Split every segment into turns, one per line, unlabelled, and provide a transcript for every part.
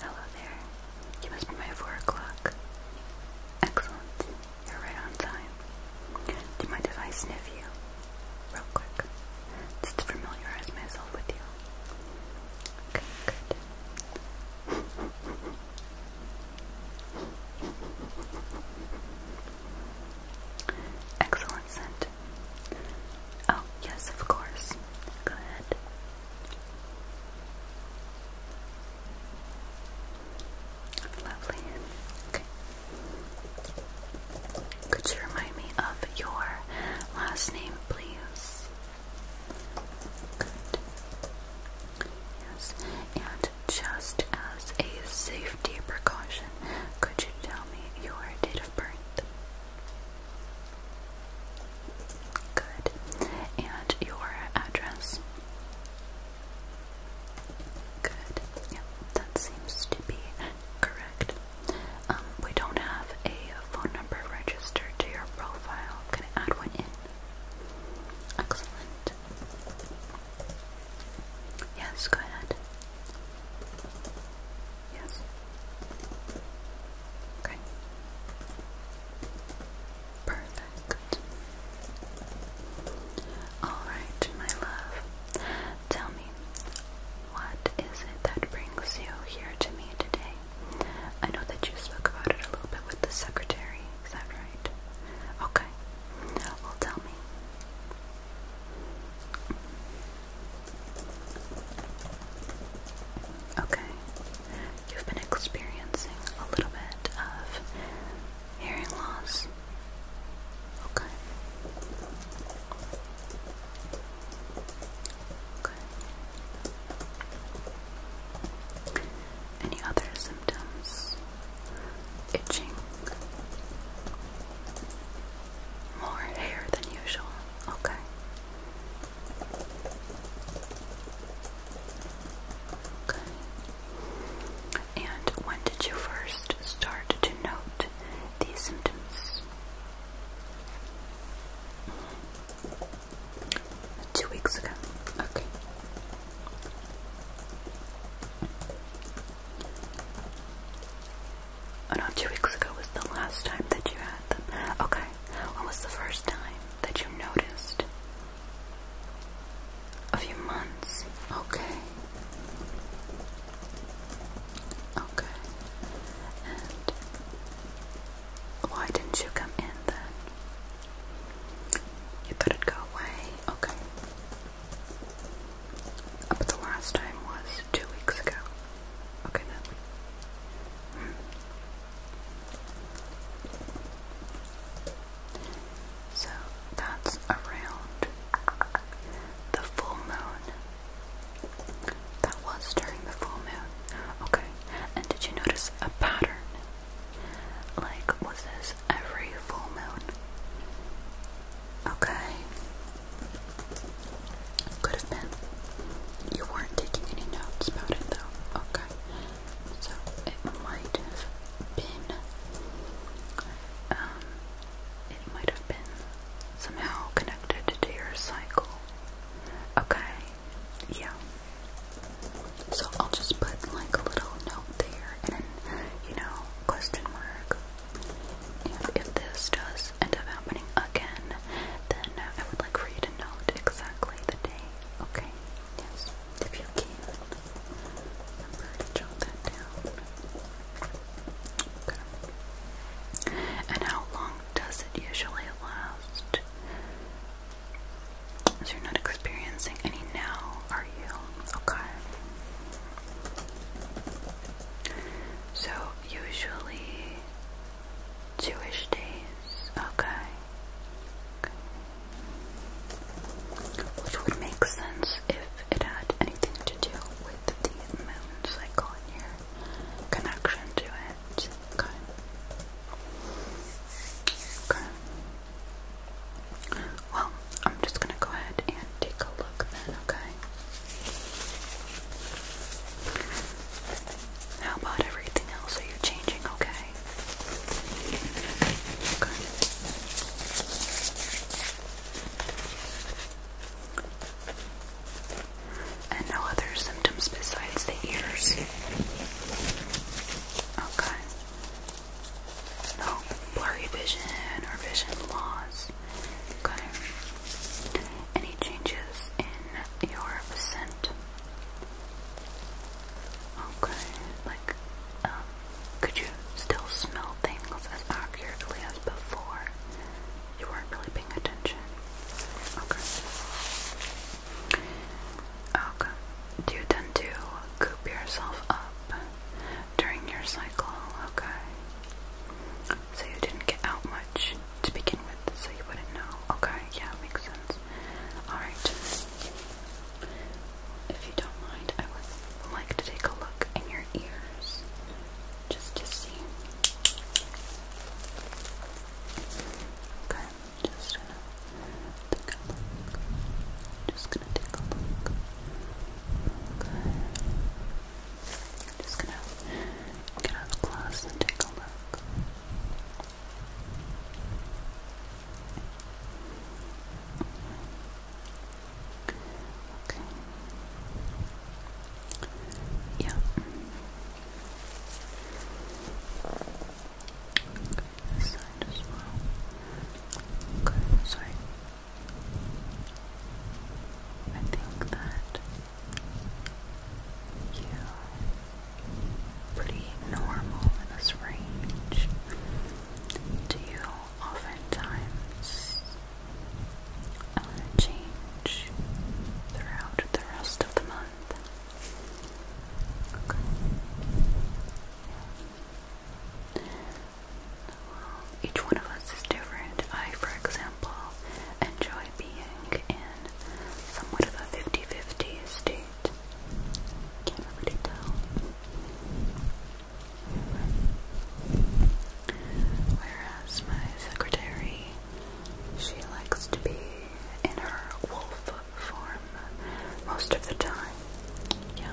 Hello there. You must be my four o'clock. Excellent. You're right on time. Do you mind sniff you? Real quick. Just to familiarize myself with you. Okay, good. Excellent scent. Oh, yes, of course. Go ahead. Lovely. Okay. Could you remind me of your last name, please? Good. Yes. And just as a safety precaution, could you tell me your date of birth? Good. And your address? Good. Yep, that seems to be correct. Um, we don't have a phone number registered to your profile. Can I add one in? Excellent. Yes, go ahead. Yes. Okay. Perfect. Alright, my love. Tell me, what is it that brings you here to me today? I know that you spoke about it a little bit with the secretary, is that right? Okay. Well, tell me. Okay. You've been experiencing a little bit of hearing loss. Okay. Okay. Any other symptoms? Itching. More hair than usual. Okay. And when did you first start to note these symptoms? Two weeks ago. Okay. Oh two weeks ago was the last time that you had them. Okay. When was the first time that you noticed? A few months. Okay. Okay. And why didn't you come in then? You thought it'd go away? Okay. But the last time was two weeks ago. Okay then. So that's around the full moon. That was during the full moon. Okay. And did you notice a pattern? Like, was this every full moon? Okay. Could have been. You weren't taking any notes about it though. Okay. So it might have been um it might have been somehow connected to your cycle. Okay. Yeah. So I'll just put like a little note there and you know, question mark. if this does end up happening again, then I would like for you to note exactly the day, okay? Yes, if you can. Remember to jot that down. And how long does it usually last? So you're not experiencing any now, are you? Okay. So usually Jewish days. Okay. Which would make sense if it had anything to do with the moon cycle and your connection to it. Okay. Well, I'm just gonna go ahead and take a look then, okay? How about everything else? Are you changing okay? Okay. And no other symptoms besides the ears? Okay. No blurry vision or vision loss. Okay. Any changes your scent. Okay, like, um, could you still smell things as accurately as before? You weren't really paying attention. Okay. Okay. Do you tend to coop yourself up during your cycle? Okay. So you didn't get out much to begin with, so you wouldn't know. Okay, yeah, makes sense. Alright. If you don't mind, I would like to take a look in your ears just to see. Okay, just gonna take a look. Just gonna take a look. I'm just gonna get out the close and take a look. Okay. Yeah. Okay, this side as well. Okay, sorry. I think that you pretty normal in this range. Do you oftentimes uh, change throughout the rest of the month? Okay. Well, each one of us is different. I, for example, example, enjoy being in somewhat of a 50 50 state. Can't really tell. Whereas my secretary, she likes to be in her wolf form most of the time. Yeah.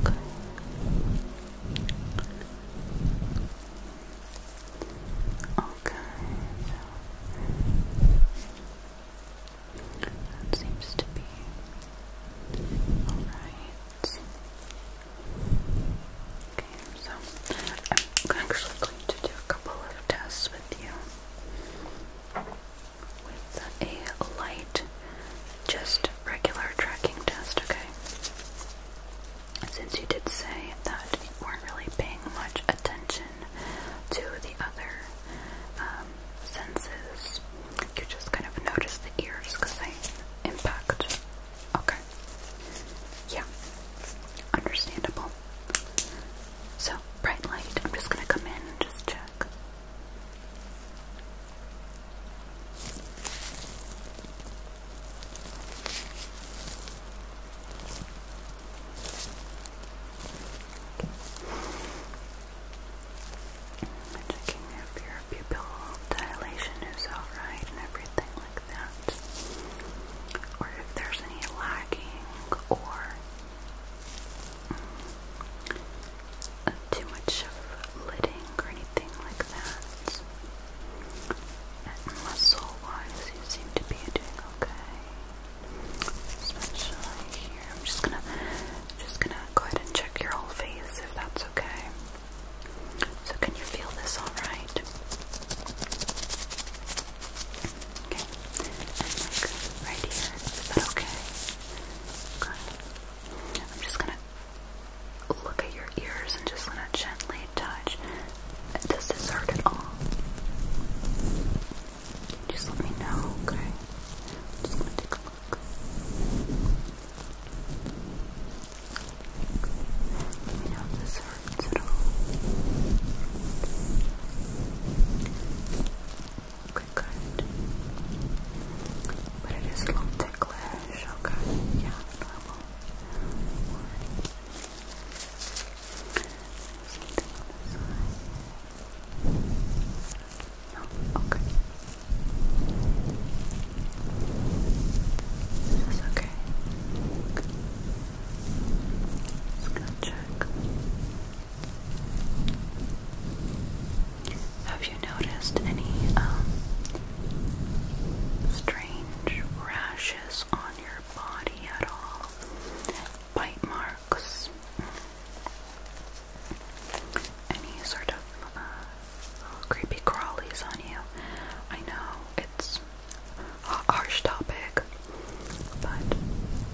Okay. Okay, that seems to be alright. Okay, so I'm actually going to do a couple of tests with you with a light, just regular tracking test, okay? since you did say that you weren't really paying much attention to the other um, senses, you just kind of noticed the ears because they impact. Okay. Yeah. Understandable. So, bright light, I'm just gonna come in and just check. Checking if your pupil dilation is alright and everything like that. Or if there's any lagging or mm, too much of lidding or anything like and muscle wise, you seem to be doing okay. Especially here. I'm just gonna just gonna go ahead and check your whole face if that's okay. So can you feel this alright? Okay. And like right here. Is that okay? Good. I'm just gonna look at your ears and just gonna gently touch. Does this hurt at all? Just let me know, okay? just gonna take a look. Let me know if this hurts at all. Okay, good. But it is a little ticklish, okay? Yeah, normal. Okay. is okay. okay. Just gonna check. Have you noticed any um, strange strange rashes on your body at all. Bite marks. Any sort of uh, creepy crawlies on you. I know it's a harsh topic, but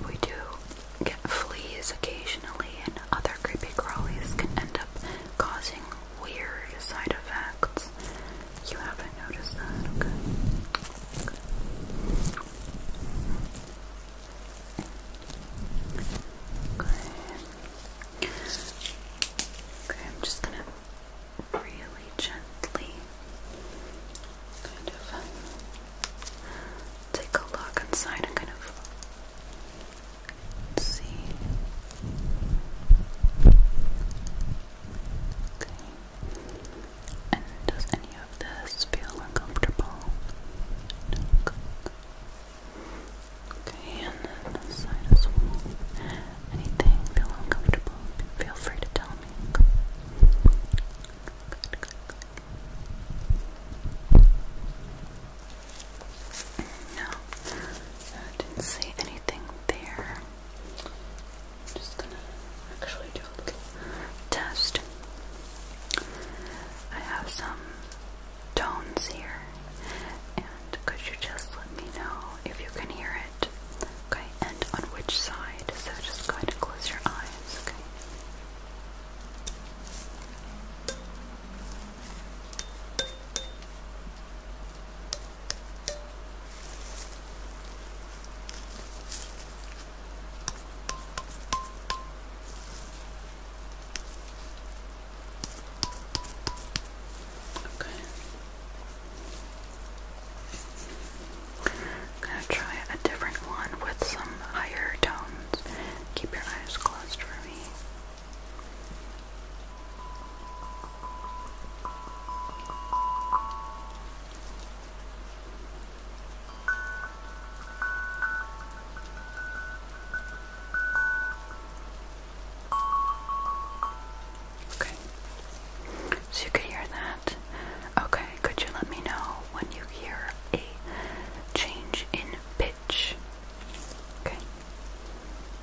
we do get fleas occasionally, and other creepy crawlies can end up causing weird side effects. You haven't noticed that, okay? Okay. Okay. I'm just gonna really gently kind of take a look inside and kind of see Okay. And does any of this feel uncomfortable? Okay. and then this side as well. Anything feel uncomfortable? Feel free to tell me. Okay. I didn't say anything there. I'm just gonna actually do a little test. I have some tones here, and could you just let me know if you can hear it? Okay, and on which side? So just go ahead close your eyes, okay? Okay. I'm gonna try a different one with some higher tones. Keep your eyes closed for me. Okay. So you could hear that. Okay, could you let me know when you hear a change in pitch? Okay.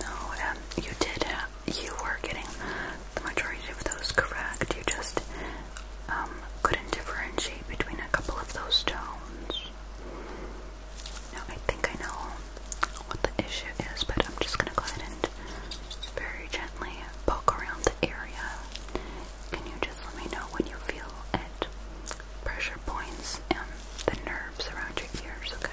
No, um, you did you were getting the majority of those correct. You just um, couldn't differentiate between a couple of those tones. Now, I think I know what the issue is, but I'm just going to go ahead and very gently poke around the area. Can you just let me know when you feel at pressure points and the nerves around your ears, okay?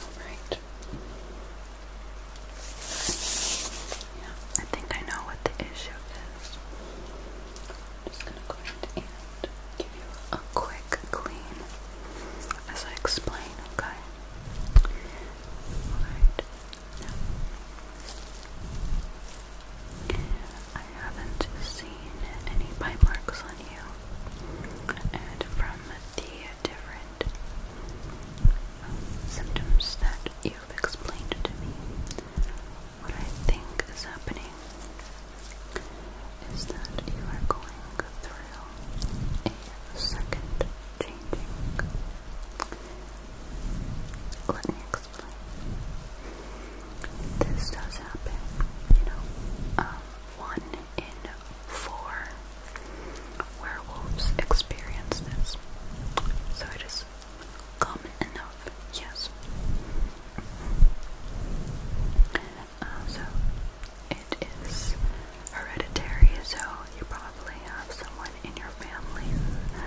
Alright. Yeah, I think I know what the issue is. just gonna go ahead and give you a quick clean as I explain, okay? Alright. I haven't seen any bite marks on you, and from the different symptoms that you've explained to me, what I think is happening is that you are going through a second changing. Let me explain. This does happen, you know. Um, one in four werewolves experience this, so it is common enough. Yes. Uh, so it is hereditary, so you probably probably have someone in your family who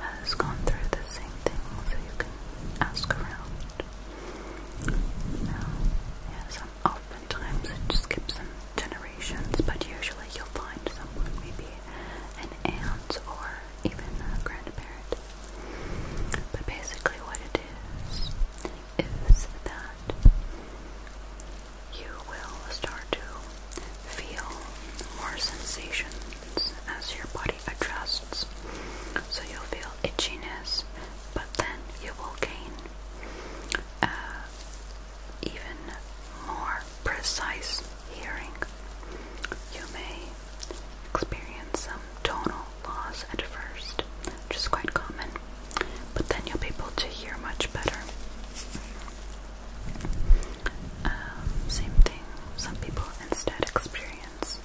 has gone through the same thing, so you can ask around. Now, yes, oftentimes it just skips in generations, but usually you'll find someone, maybe an aunt or even a grandparent. But basically, what it is is that you will start to feel more sensations as your body adjusts. So you'll feel itchiness, but then you will gain uh, even more precise hearing. You may experience some tonal loss at first, which is quite common, but then you'll be able to hear much better. Um, same thing, some people instead experience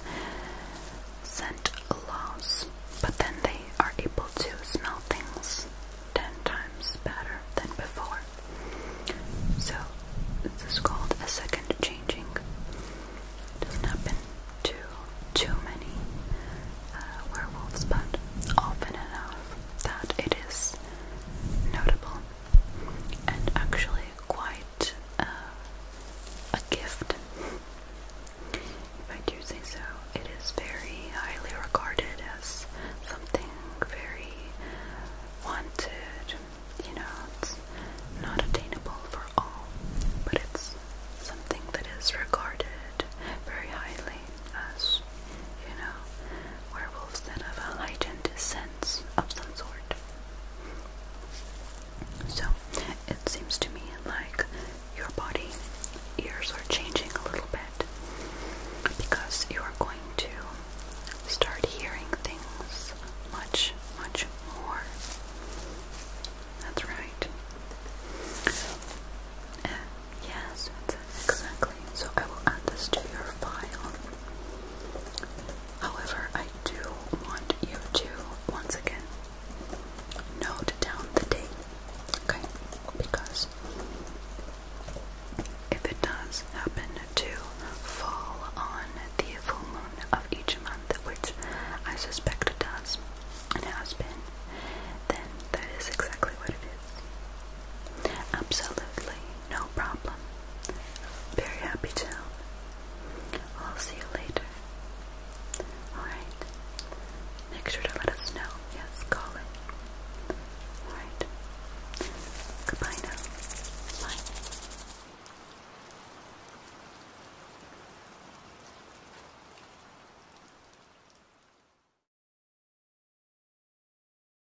scent loss, but then they are able to smell things 10 times better than before. So, this is called a second changing. doesn't happen to too many uh, werewolves, but often enough that it is notable and actually quite uh, a gift, if I do say so. It is very highly regarded as something very wanted. You know, it's not attainable for all, but it's something that is regarded very highly as, you know, Werewolves then have a heightened sense of some sort. So it seems to me like your body ears are changing a little bit because you are going to start hearing things much, much more. That's right. Uh, yes, exactly. So I will add this to your file. However, I do want you to once again note down the date, okay? Because if it does happen to fall on the full moon of each month, which I suspect it does and has been, then that is exactly what it is. Absolutely no problem. Very happy town. I'll see you later. Alright. Make sure to let us know. Yes, call it. Alright. Goodbye now. Bye.